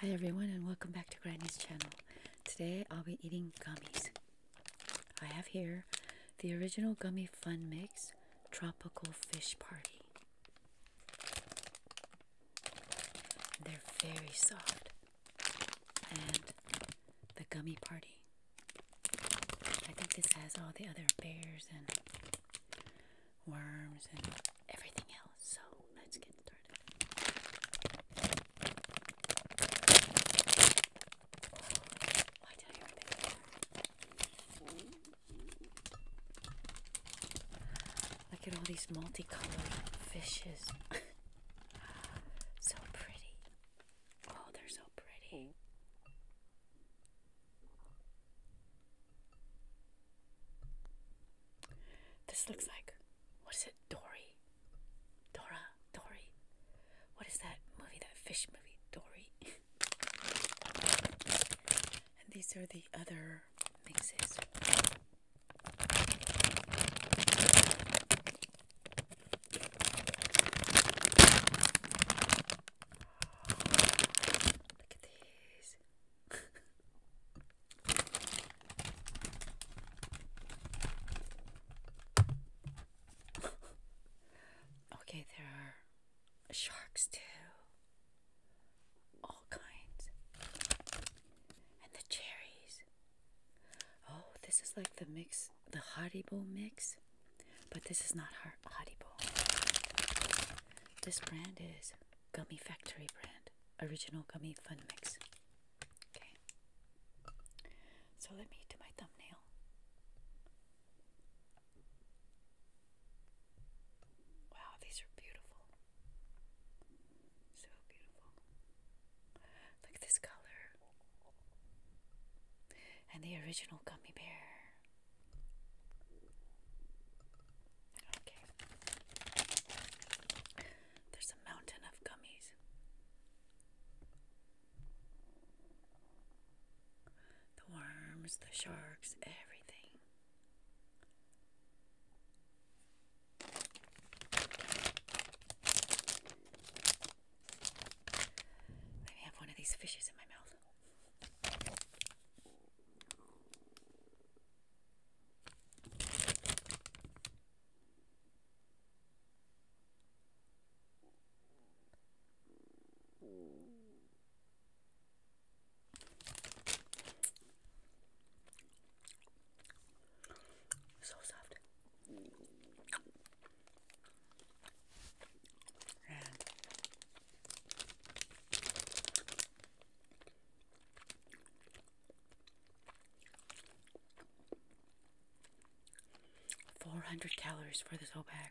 Hi everyone and welcome back to Granny's channel. Today I'll be eating gummies. I have here the original Gummy Fun Mix Tropical Fish Party. They're very soft. And the Gummy Party. I think this has all the other bears and worms, and everything else. So let's get started. Look at all these multicolored fishes. so pretty. Oh, they're so pretty. This looks like, what is it, Dory? Dora, Dory. What is that movie, that fish movie, Dory? and these are the other mixes. Look at these okay, there are sharks too. All kinds. And the cherries. Oh, this is like the mix, the Haribo mix, but this is not Haribo are Haribo. This brand is Gummy Factory brand, original gummy fun mix. Okay. So let me do my thumbnail. Wow, these are beautiful. So beautiful. Look at this color. And the original gummy bear. Okay. There's a mountain of gummies. The worms, the sharks, everything. Maybe I have one of these fishes in my mouth. So soft. And Four hundred calories for this whole bag.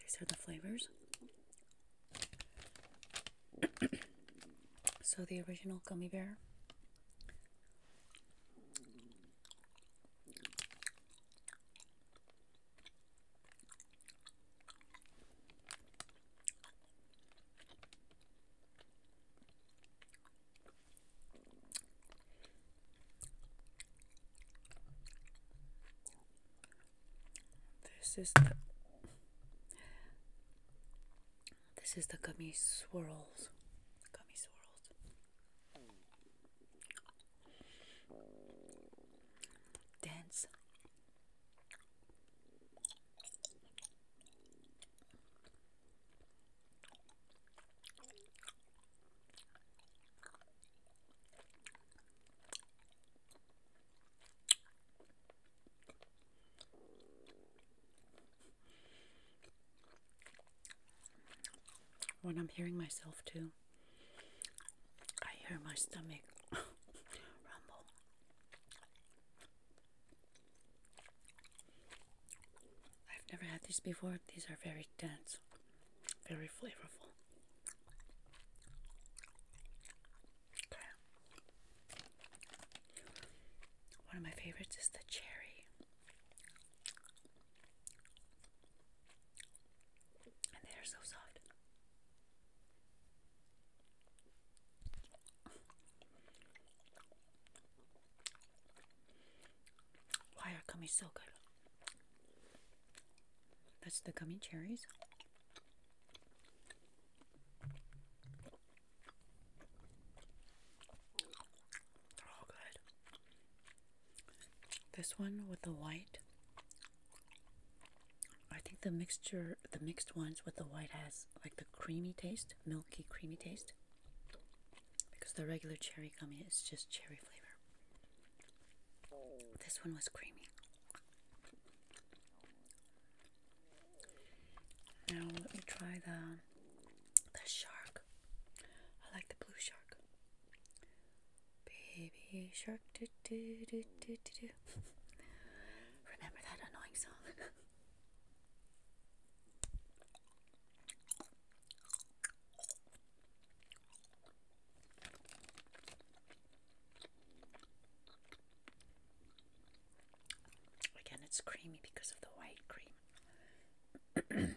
These are the flavors. so the original gummy bear this is the this is the gummy swirls. Gummy swirls. Dense. When I'm hearing myself too, I hear my stomach rumble. I've never had these before. These are very dense, very flavorful. One of my favorites is the cherry. And they are so soft. Why are gummies so good? That's the gummy cherries. They're all good. This one with the white. I think the mixture, the mixed ones with the white has like the creamy taste, milky creamy taste. Because the regular cherry gummy is just cherry flavor. This one was creamy. Now let me try the the shark. I like the blue shark. Baby shark do do do do do do. Remember that annoying song? Again, it's creamy because of the white cream.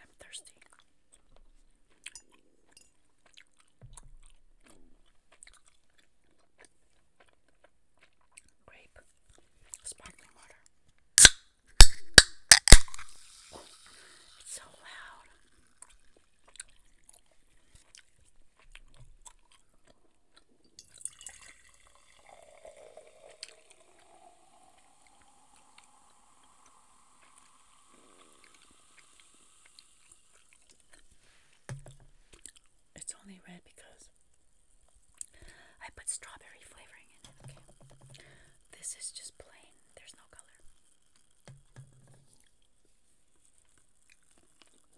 I'm thirsty. Grape, sparkling water. It's so loud. It's only red because I put strawberry flavoring in it, okay? This is just plain, there's no color.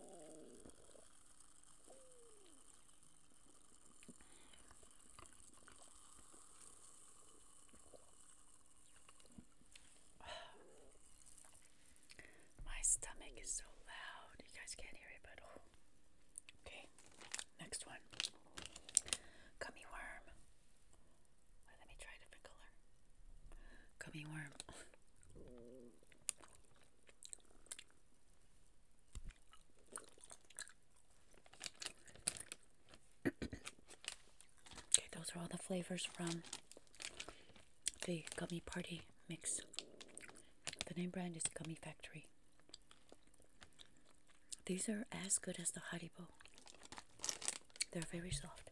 My stomach is so loud. You guys can't hear it, but oh. Okay, next one. Gummy worm. let me try a different color. Gummy worm. okay, those are all the flavors from the Gummy Party mix. The name brand is Gummy Factory. These are as good as the Haribo. They're very soft.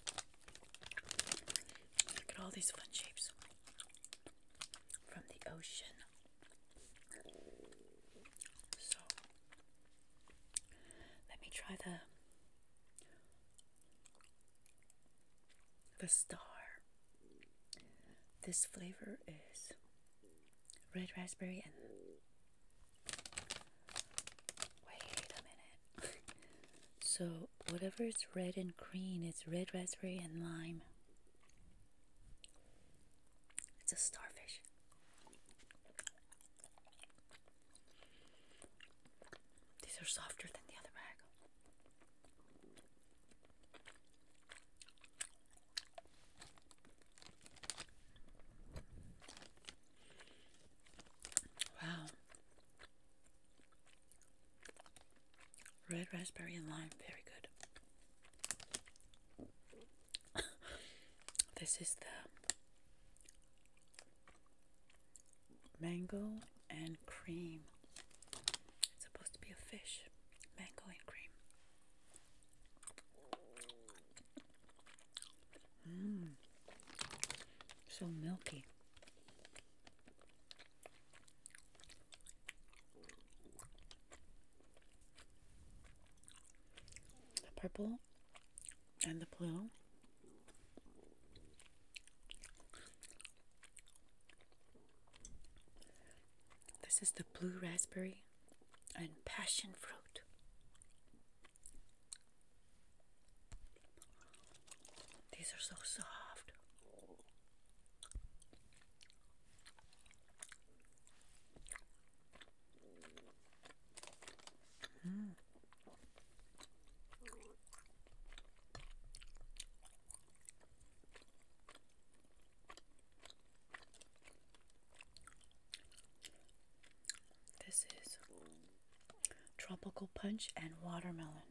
Look at all these fun shapes from the ocean. So, let me try the the star. This flavor is red raspberry and wait a minute so whatever is red and green it's red raspberry and lime it's a starfish these are softer than the other bag Wow. Red raspberry and lime, very good. this is the mango and cream it's supposed to be a fish, mango and cream. Mmm, so milky. The purple and the blue this is the blue raspberry and passion fruit. These are so soft. This is tropical punch and watermelon.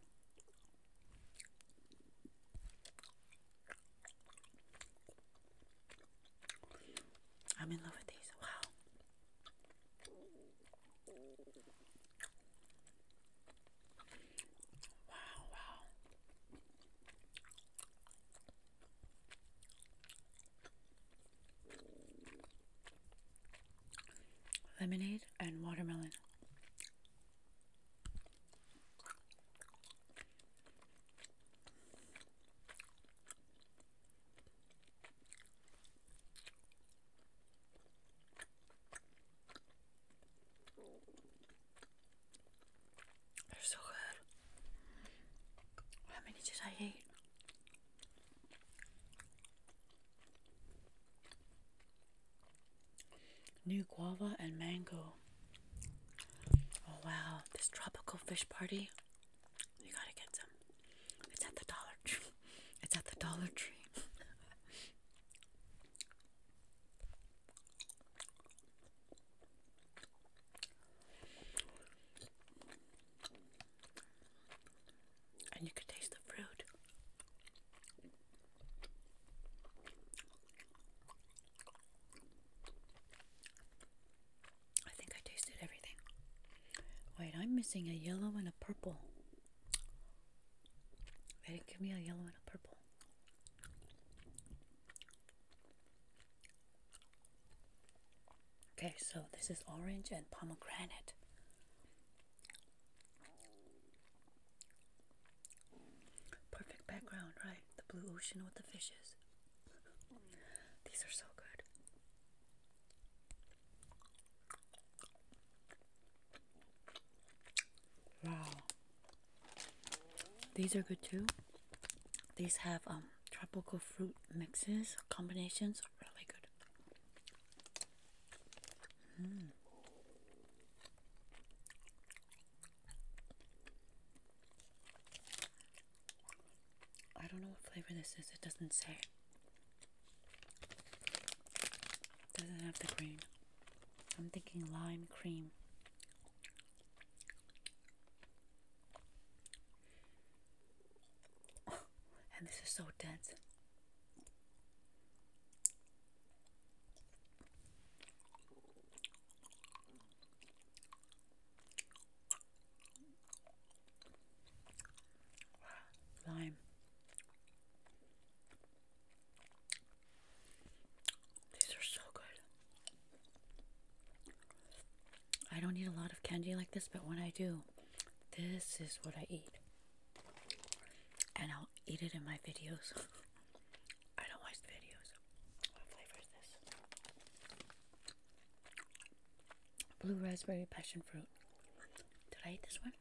I'm in love with these. Wow. Wow, wow. Lemonade and watermelon. They're so good. How many did I eat? New guava and mango. Oh wow, this tropical fish party. You gotta get some. It's at the Dollar Tree. It's at the Dollar Tree. And you can taste the fruit. I think I tasted everything. Wait, I'm missing a yellow and a purple. They give me a yellow and a purple. Okay, so this is orange and pomegranate. Perfect background, right? The blue ocean with the fishes. These are so good. Wow. These are good too. These have um tropical fruit mixes, combinations, really good. Mm. I don't know what flavor this is. It doesn't say. Doesn't have the cream. I'm thinking lime cream. and this is so dense. Lime. These are so good. I don't eat a lot of candy like this, but when I do, this is what I eat. And I'll eat it in my videos. I don't watch videos. What flavor is this? Blue raspberry passion fruit. Did I eat this one?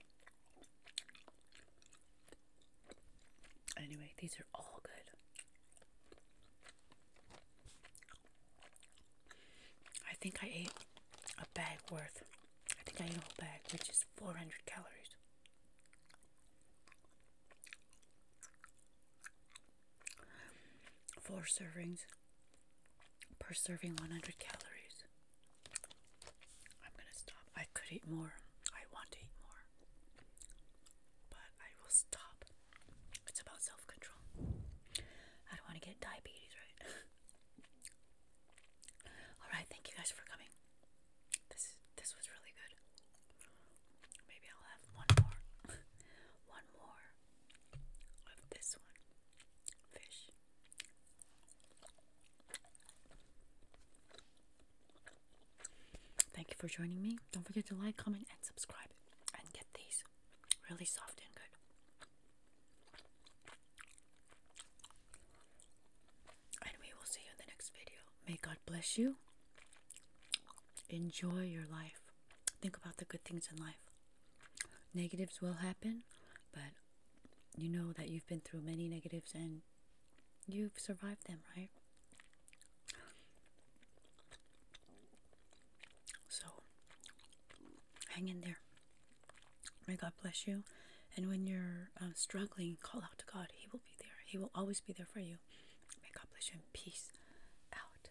Anyway, these are all good. I think I ate a bag worth. I think I ate a whole bag, which is 400 calories. Four servings per serving 100 calories. I'm going to stop. I could eat more. I want to eat more. But I will stop. It's about self control. I don't want to get diabetes, right? Alright, thank you guys for coming. This this was really good. Maybe I'll have one more. one more of this one. Fish. Thank you for joining me. Don't forget to like, comment, and subscribe. And get these really soft and good. And we will see you in the next video. May God bless you. Enjoy your life. Think about the good things in life negatives will happen, but you know that you've been through many negatives and you've survived them, right? So, hang in there. May God bless you. And when you're um, struggling, call out to God. He will be there, He will always be there for you. May God bless you in peace. Out.